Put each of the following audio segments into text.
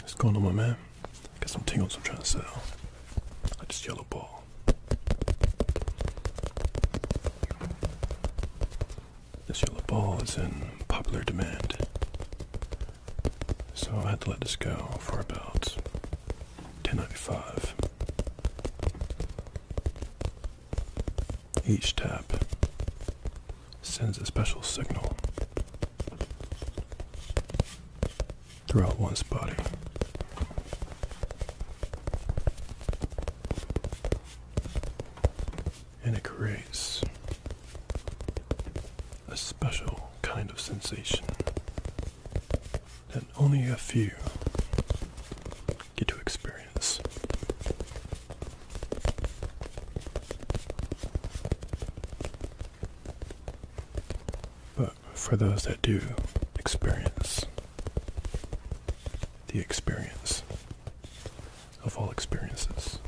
What's going on, my man? Got some tingles I'm trying to sell. I just yellow ball. This yellow ball is in popular demand. So I had to let this go for about 10.95. Each tap sends a special signal throughout one's body. And it creates a special kind of sensation that only a few get to experience. But for those that do experience the experience of all experiences,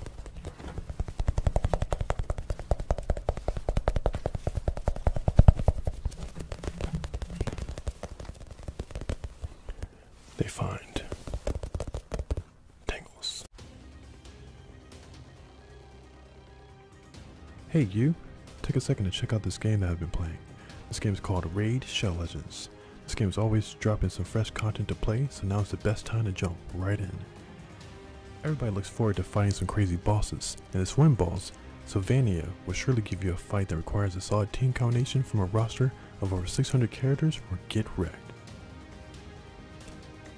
they find tingles. Hey you, take a second to check out this game that I've been playing. This game is called Raid Shell Legends. This game is always dropping some fresh content to play, so now is the best time to jump right in. Everybody looks forward to fighting some crazy bosses, and this one boss, Sylvania, will surely give you a fight that requires a solid team combination from a roster of over 600 characters or get wrecked.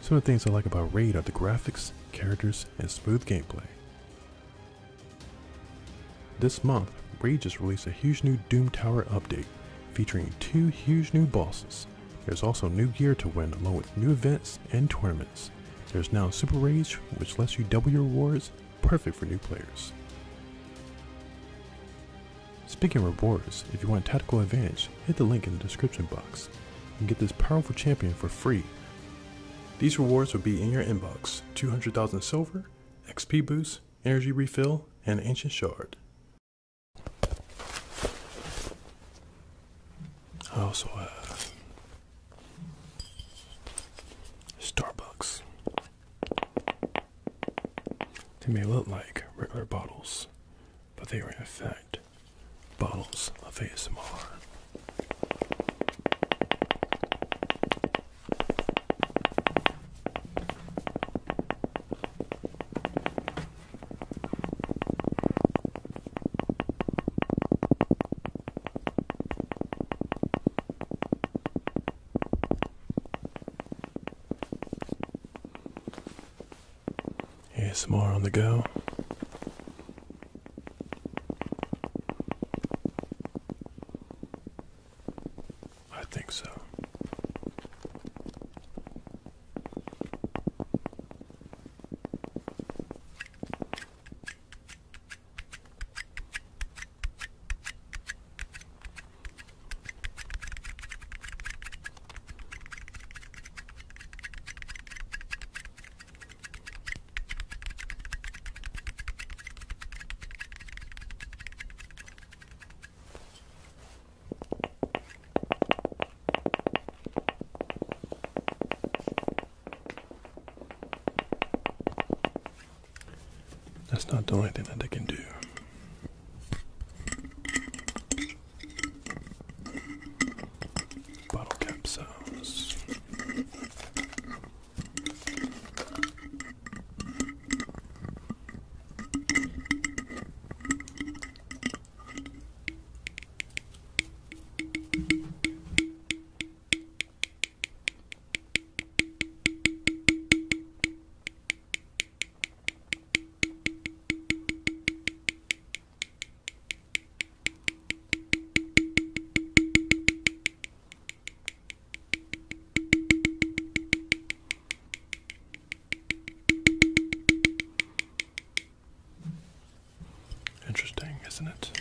Some of the things I like about Raid are the graphics, characters, and smooth gameplay. This month, Raid just released a huge new Doom Tower update, featuring two huge new bosses. There's also new gear to win along with new events and tournaments. There's now Super Rage, which lets you double your rewards, perfect for new players. Speaking of rewards, if you want a tactical advantage, hit the link in the description box and get this powerful champion for free. These rewards will be in your inbox 200,000 silver, XP boost, energy refill, and ancient shard. I also have Starbucks. They may look like regular bottles, but they are in fact bottles of ASMR more on the go. I think so. That's not the only thing that they can do. Bottle cap sounds. Interesting, isn't it?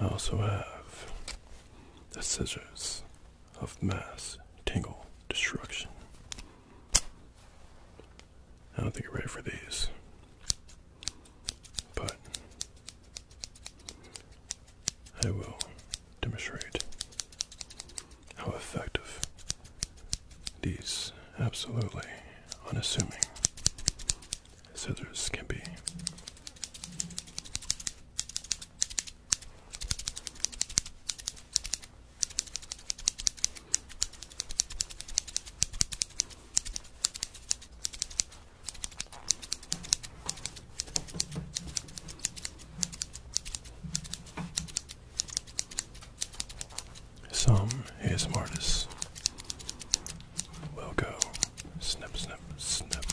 I also have the scissors of mass tingle destruction. I don't think you're ready for these, but I will demonstrate how effective these absolutely unassuming scissors can be. Some ASM artists will go snip, snip, snip.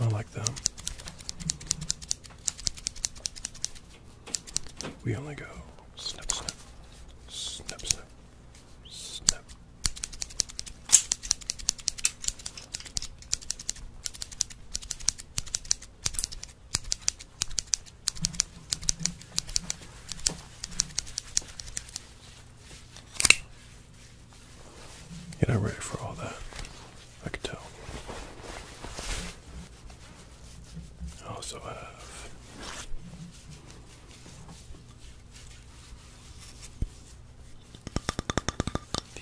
I like them. We only go snip, snip, snip, snip, snip. You're not ready for all that. I can tell. I also have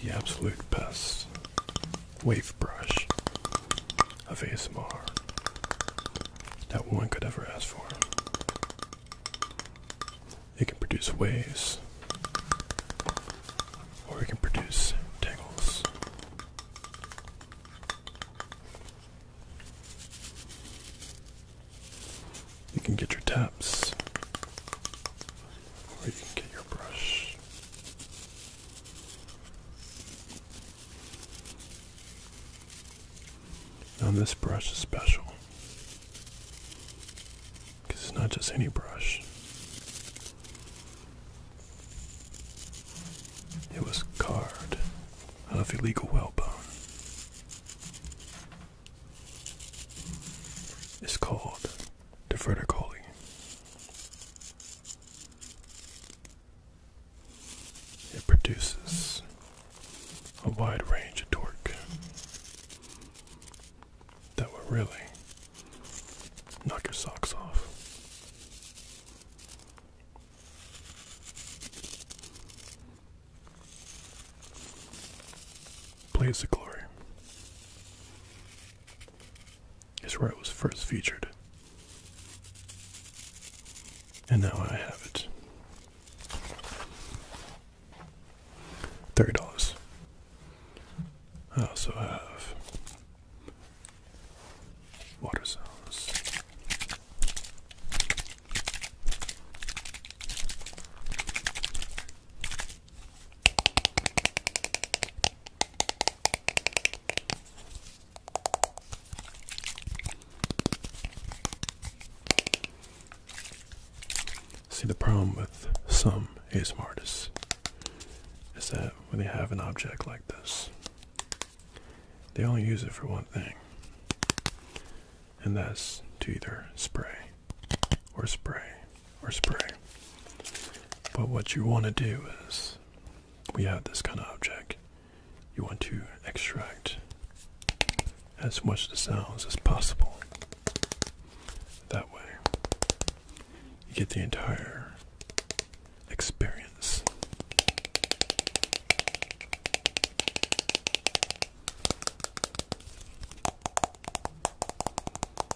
the absolute best wave brush of ASMR that one could ever ask for. It can produce waves, or it can produce tangles. You can get your taps or you can get your brush. Now this brush is special because it's not just any brush. It was carved out of illegal whalebone. It's called to vertically. It produces a wide range of torque that will really knock your socks off. Please, the Glory is where it was first featured. And now I have it. $30. I also have water sounds. See, the problem with some ASMR is that when they have an object like this, they only use it for one thing, and that's to either spray or spray or spray. But what you want to do is we have this kind of object. You want to extract as much of the sounds as possible. That way, you get the entire experience.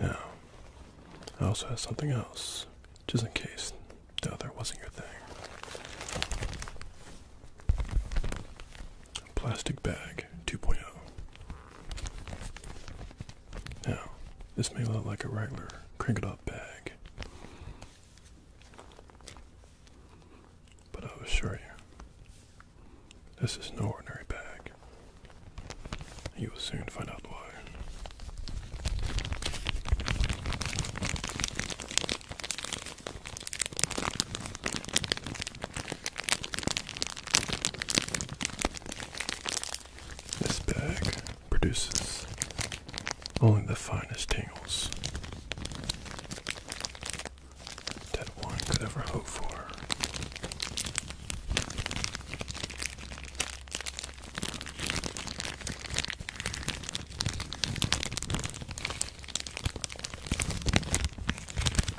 Now, I also have something else, just in case the other wasn't your thing. Plastic bag 2.0. Now, this may look like a regular crinkled up bag, but i assure you, this is no ordinary bag. You will soon find out why. This bag produces only the finest tingles that one could ever hope for.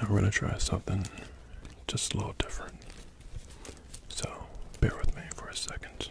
Now we're going to try something just a little different. So bear with me for a second.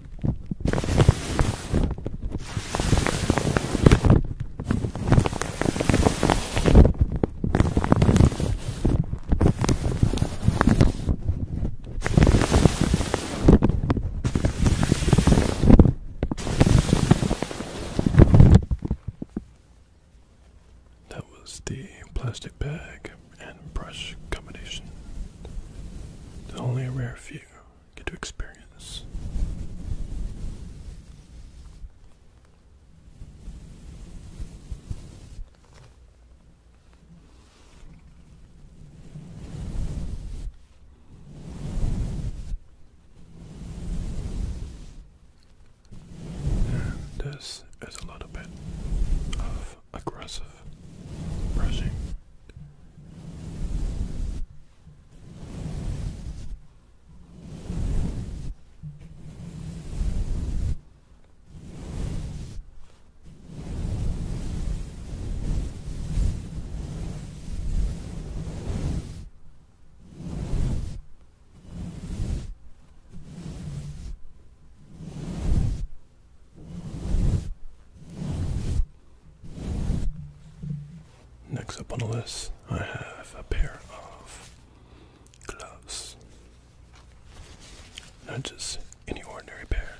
That was the plastic bag and brush combination. Only a rare few get to experience. this is a little bit of aggressive brushing. Next up on the list, I have a pair of gloves. Not just any ordinary pair,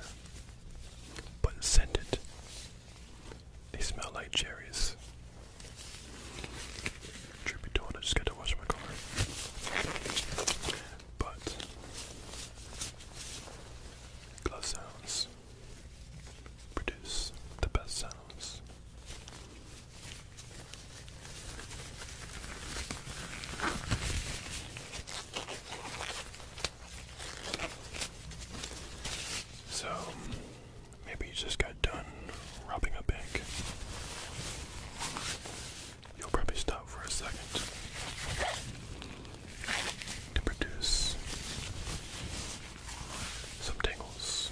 but scented. They smell like cherries. Truth be just got to wash my car. But Close sounds produce the best sounds. So, maybe you just got done robbing a bank. You'll probably stop for a second to produce some tingles.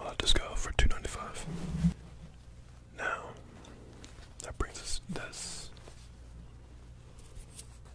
I'll let go for two ninety five. Now that brings us this.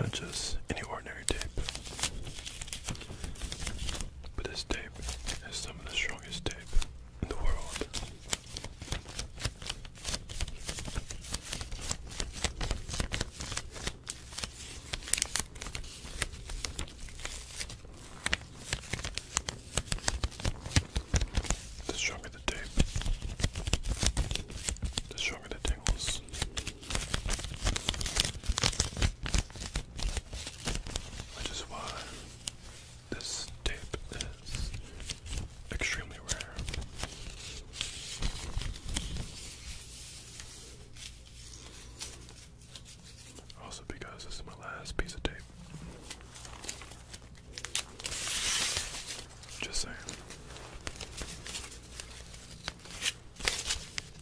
Not just any ordinary tape, but this tape is some of the strongest tape in the world. The stronger the tape, the stronger the tingles which is why this tape is extremely rare. Also, because this is my last piece of tape. Just saying.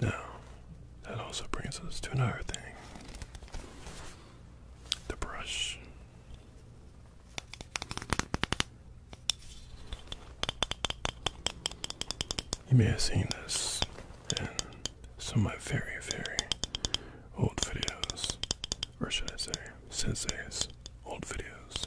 Now, that also brings us to another thing the brush. You may have seen this in some of my very, very old videos, or should I say, since Sensei's old videos.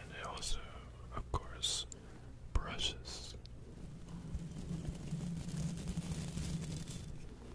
And it also, of course, brushes.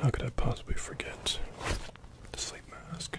how could I possibly forget the sleep mask?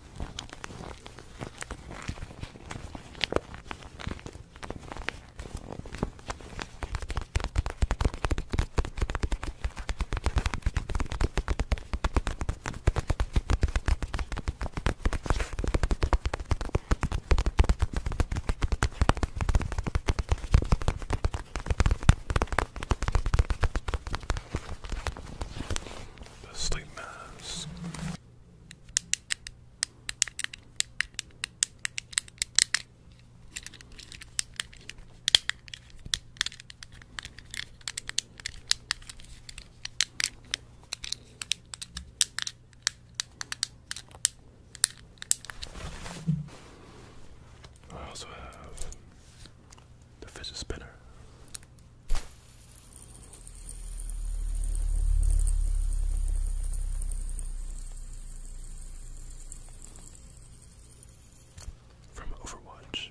The sleep mask. I also have the fidget spinner. From Overwatch.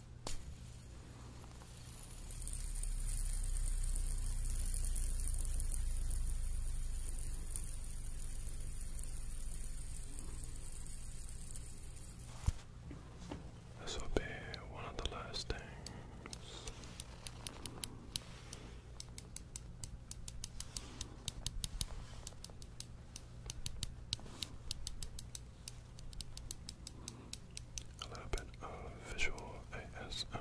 This will be one of the last things. A little bit of visual ASMR.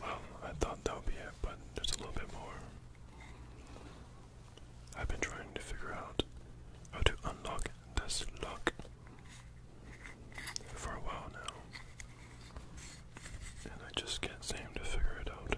Well, I thought that would be it, but there's a little bit more. I've been trying to figure out how to unlock this lock for a while now. And I just can't seem to figure it out.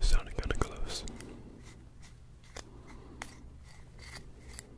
Sounding kind of close.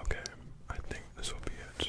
Okay, I think this will be it.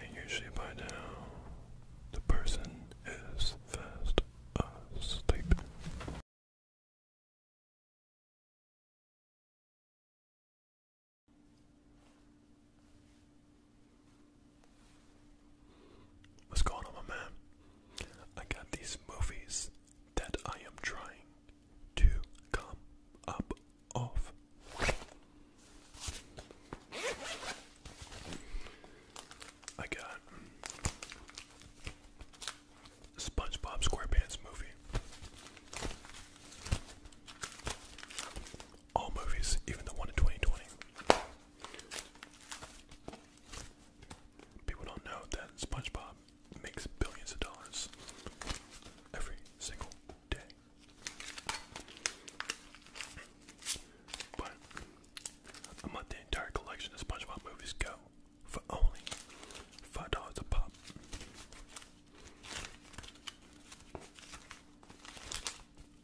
And usually by now, the person is fast asleep. What's going on, my man? I got these movies that I am trying to come up off. I got SpongeBob SquarePants movie. All movies, even the one in 2020. People don't know that SpongeBob makes billions of dollars every single day. But I'm the entire collection of SpongeBob movies go for only five dollars a pop.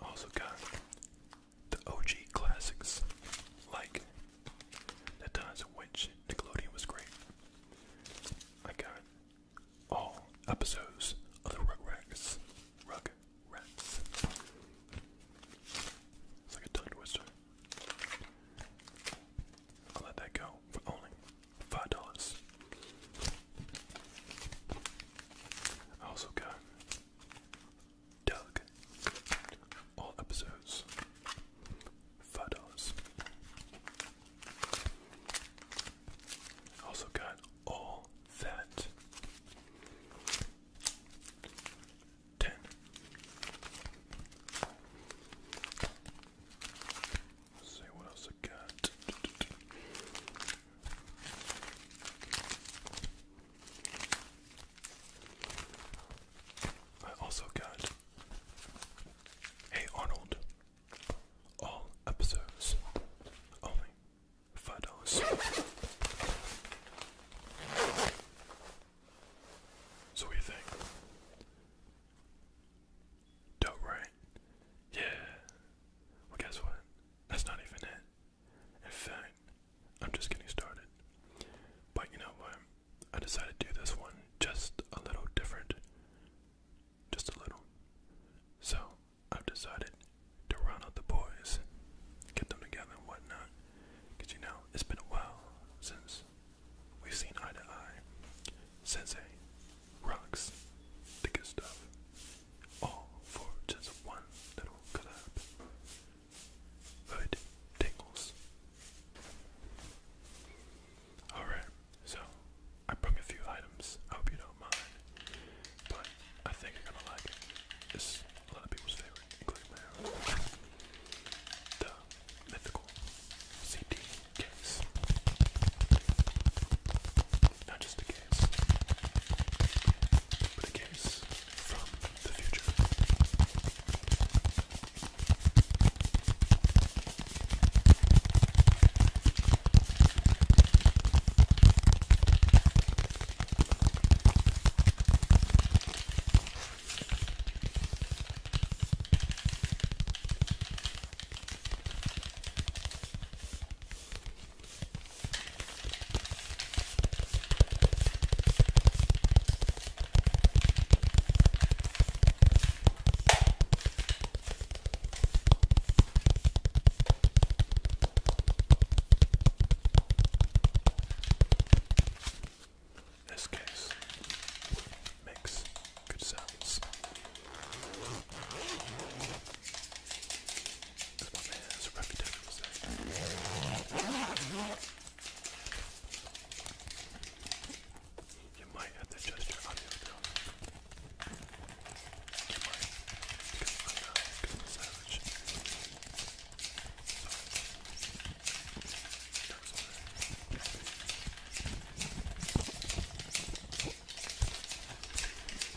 Also got the OG classics, like the times in which Nickelodeon was great. I got all episodes of the Rugrats. Rugrats. It's like a tongue I'll let that go for only five dollars. I also got Doug. All episodes. Photos. Also got all that. 10 see what else I got. I also got Hey Arnold. All episodes only five dollars. So what do you think? Dope, right? Yeah. Well, guess what? That's not even it. In fact, I'm just getting started. But you know what? I decided to do this one just a little different. Just a little. So, I've decided to run out the boys, get them together and whatnot. Because you know, it's been a while since we've seen eye to eye. Sensei rocks the good stuff all oh, for just one little collab. Hood tingles. Alright, so I brought a few items. I hope you don't mind. But I think you're gonna like it. It's a lot of people's favorite, including my own. The mythical CD case. Not just a case, but a case from the future. This case makes good sounds. Because my man has a reputation for saying. You might have to adjust your audio down. You might, because I'm not, because I'm savage. So, that's alright.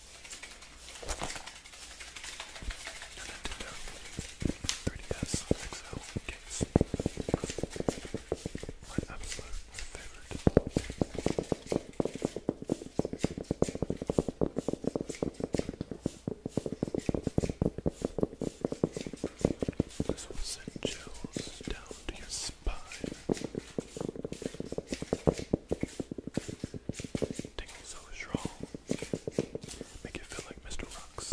3DS XL case. My absolute favorite. This will send chills down to your spine. Tingle so strong. Make it feel like Mr. Rocks.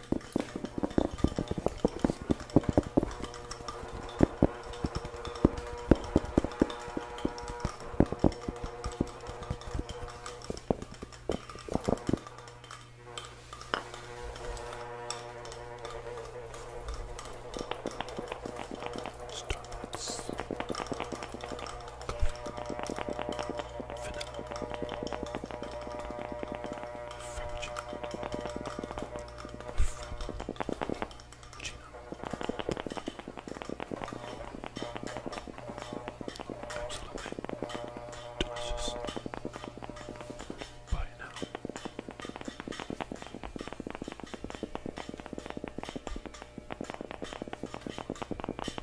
Starbucks. Coffee. Absolutely delicious. Bye now.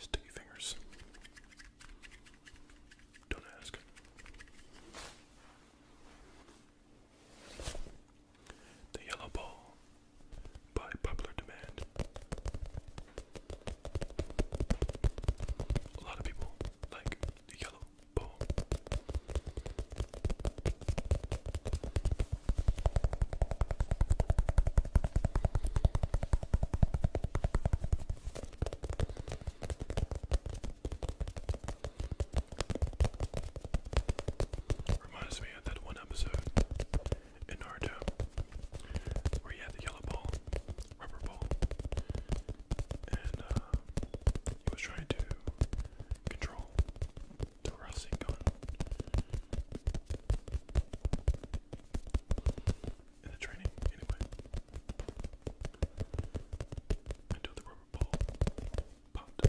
Sticky fingers. Don't ask. The yellow ball by popular demand. A lot of people like the yellow ball. Reminds me of that one episode in where you had the yellow ball, rubber ball, and uh, he was trying to control the Rasengan. In the training, anyway. Until the rubber ball popped.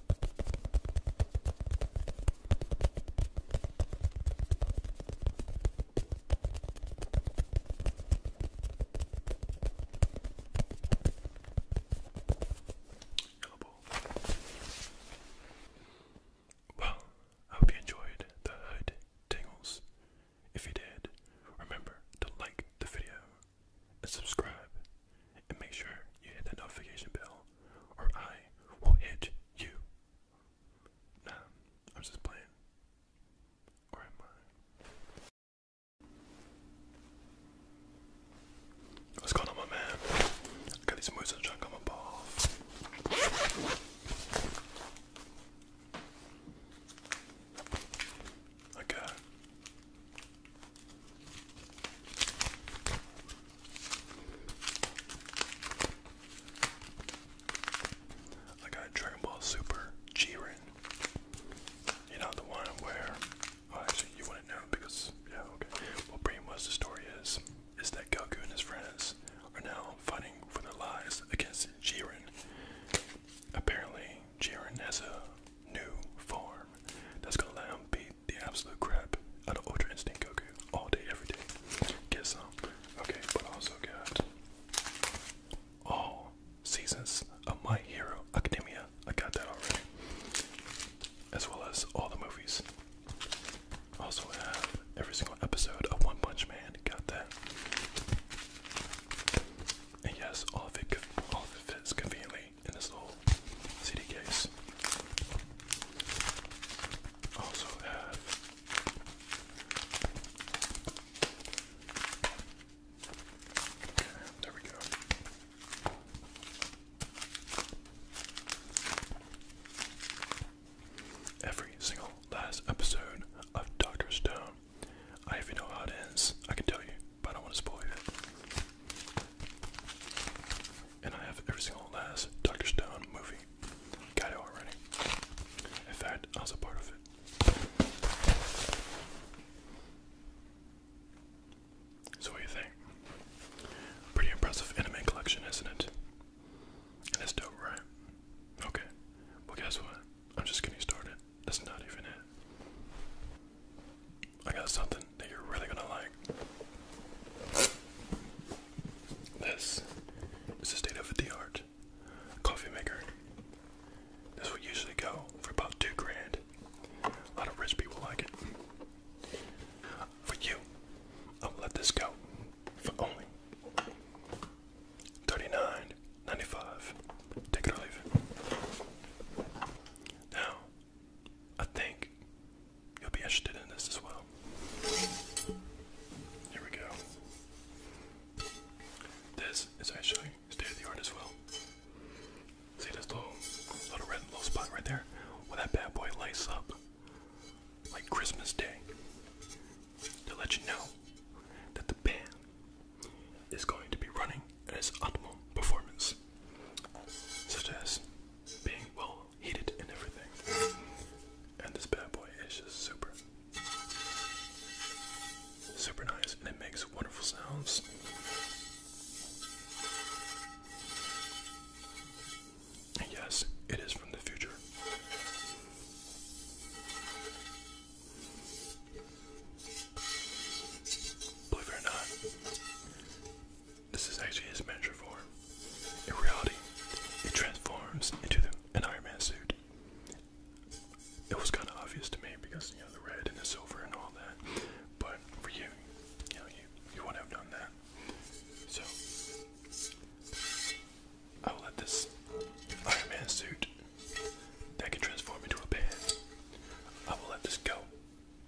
Yellow Well, I hope you enjoyed the hood tingles. If you did, remember to like the video and subscribe and make sure you hit that notification bell, or I will hit you. Nah, I'm just playing. What's going on, my man? got these moves in the trunk on Okay. I got Dragon Ball Super Jiren. You know the one where, well, oh, actually you wouldn't know because yeah okay. Well, pretty much the story is is that Goku and his friends are now fighting for their lives against Jiren. Apparently, Jiren has a new form that's gonna let him beat the absolute crap out of Ultra Instinct Goku all day, every day. Get some. Okay, but also got all seasons of My Hero Academia. I got that already. As well as all the movies. Also have every single episode of One Punch Man. Got that. And yes, all of all of conveniently in this little CD case. Also have there we go. Every single last episode of Doctor Stone. I even know how it ends. I can tell you, but I don't want to spoil it and I have every single last Doctor Stone movie. Got it already. In fact, I was a part of it. So what do you think? Pretty impressive anime collection, isn't it? And that's dope, right? Okay. Well guess what? I'm just getting started. That's not even it. I got something that you're really gonna like. This is the state of the art coffee maker. This will usually go for about two grand. A lot of rich people like it. For you, I'll let this go for only thirty-nine ninety-five. Take it or leave it. Now, I think You'll be interested in this as well. Here we go. This is actually state of the art as well. See this little, little red little spot right there? well, that bad boy lights up like Christmas Day to let you know that the band is going to be running at its optimal performance, such as being well heated and everything. And this bad boy is just super, super nice, and it makes wonderful sounds. yes, it is from the future. Believe it or not, this is actually his measure form. In reality, it transforms into an Iron Man suit. It was kind of obvious to me because, you know, the red and the silver and all that. But for you, you know, you, you wouldn't have done that. So, I will let this Iron Man suit that can transform into a pan, I will let this go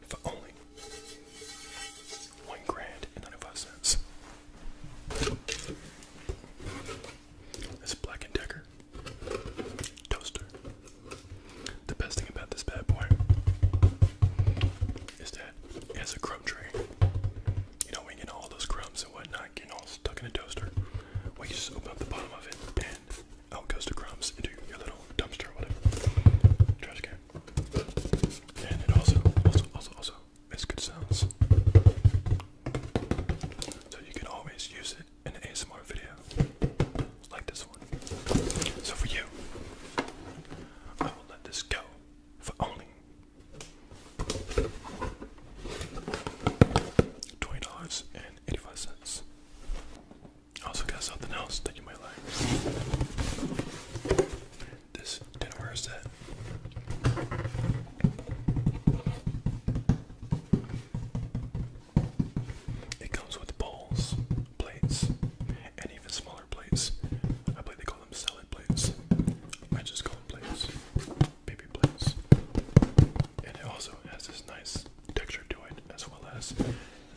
for only one grand and ninety-five cents. It's Black and Decker toaster. The best thing about this bad boy is that it has a crumb tray. You know, when you get all those crumbs and whatnot getting all stuck in a toaster, well, you just open up the bottom of it and out goes the crumbs into your little dumpster or whatever, trash can. And it also, also, also, also makes good sounds. So you can always use it in an ASMR video like this one. So for you, I will let this go for only $20.85. I also got something else that you might like. This dinnerware set. It comes with bowls, plates, and even smaller plates. I believe they call them salad plates. I just call them plates, baby plates. And it also has this nice texture to it, as well as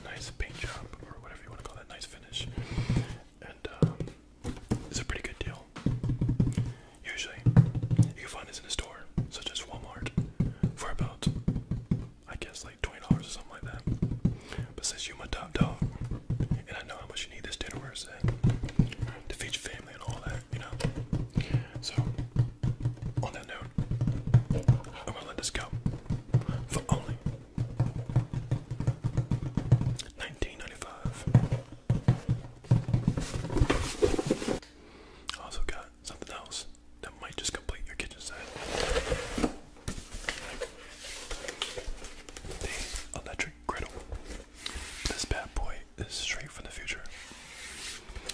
nice paint job or whatever you want to call that, nice finish. And um, it's a pretty good deal. Usually, you can find this in a store such as Walmart for about, I guess, like twenty dollars or something like that. But since you're my top dog, and I know how much you need this dinnerware set to feed your family and all that, you know. So, on that note, I'm gonna let this go for only 1995. I also got something else that might just complete your kitchen set. The electric griddle. This bad boy is straight from the future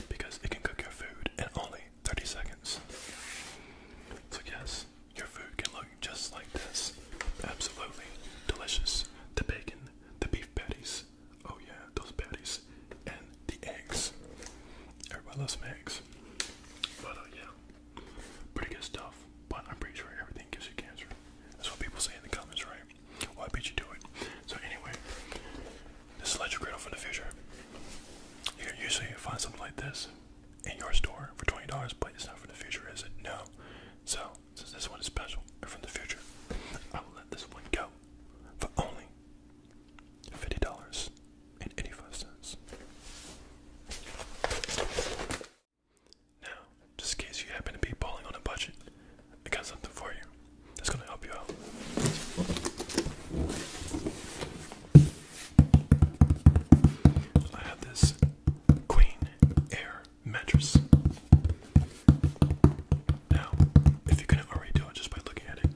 because it can cook your food in only 30 seconds. So, yes, your food can look just like this. Absolutely delicious. The bacon, the beef patties. Oh yeah, those patties and the eggs. Everybody loves some eggs. But uh, yeah, pretty good stuff. But I'm pretty sure everything gives you cancer. That's what people say in the comments, right? Well, I bet you do it. So anyway, this is electric griddle for the future. You can usually find something like this in your store for $20, but it's not from the future, is it? No. So, since this one is special and from the future, I will let this one go for only $50.85. Now, just in case you happen to be balling on a budget, I got something for you that's going to help you out. I have this Queen Air mattress. Now, if you couldn't already tell just by looking at it,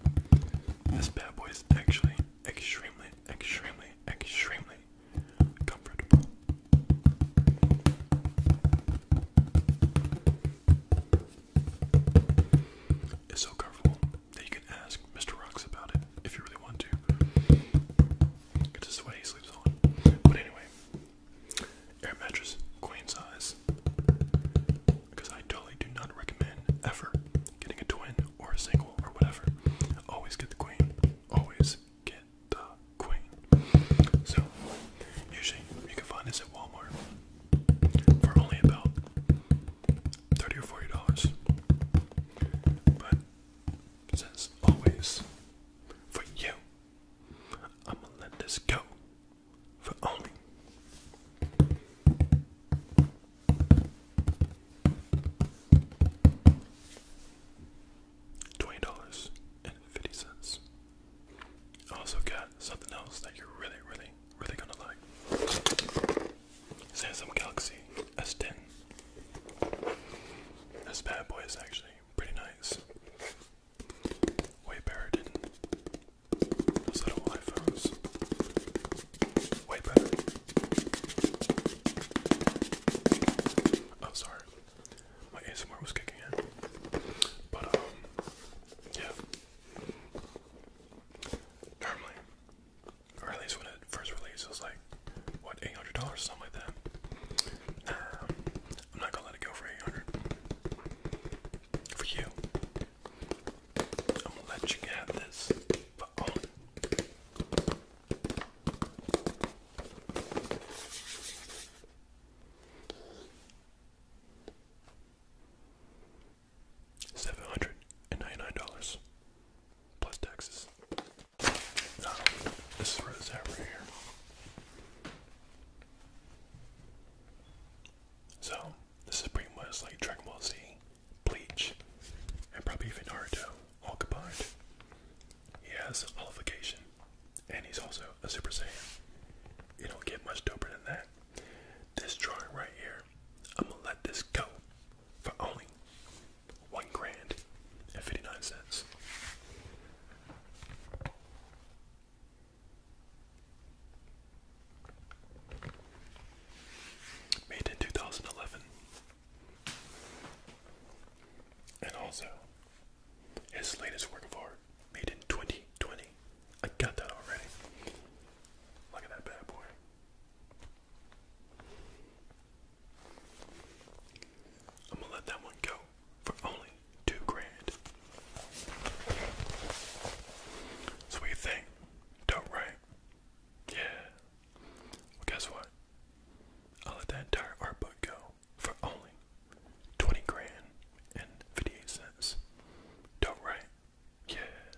this bad boy is actually extremely, extremely, extremely comfortable. It's so comfortable that you can ask Mr. Rocks about it if you really want to. It's the way he sleeps on. But anyway, air mattress, queen size. Because I totally do not recommend ever getting a twin or a single or whatever. Always get the queen. Always get the queen. So, usually you can find this at Walmart for only about thirty or forty dollars. But says always for you. I'ma let this go for only. Twenty dollars and fifty cents. Also got something else that you're really, really, really gonna like. Samsung Galaxy S10. This bad boy is actually pretty nice. Way better than those little iPhones. Way better. Oh, sorry. My ASMR was kicking in. But, um, yeah. Normally, or at least when it first released, it was like what eight hundred dollars, something like that. Nah, um, I'm not gonna let it go for eight hundred. For you, I'm gonna let you have this, but only. Seven hundred and ninety nine dollars plus taxes. this is where it's at right here. So, this is pretty much like Dragon Ball Z, Bleach, and probably even Naruto all combined. He has a Olification, and he's also a Super Saiyan. You don't get much doper than that. This drawing right here, I'm gonna let this go for only one grand and fifty nine cents. Made in two thousand eleven. And also his latest work of art made in 2020. I got that already. Look at that bad boy. I'm gonna let that one go for only two grand. So what you think? Dope, right? Yeah. Well, guess what? I'll let that entire art book go for only twenty grand and fifty-eight cents. Dope, right? Yeah.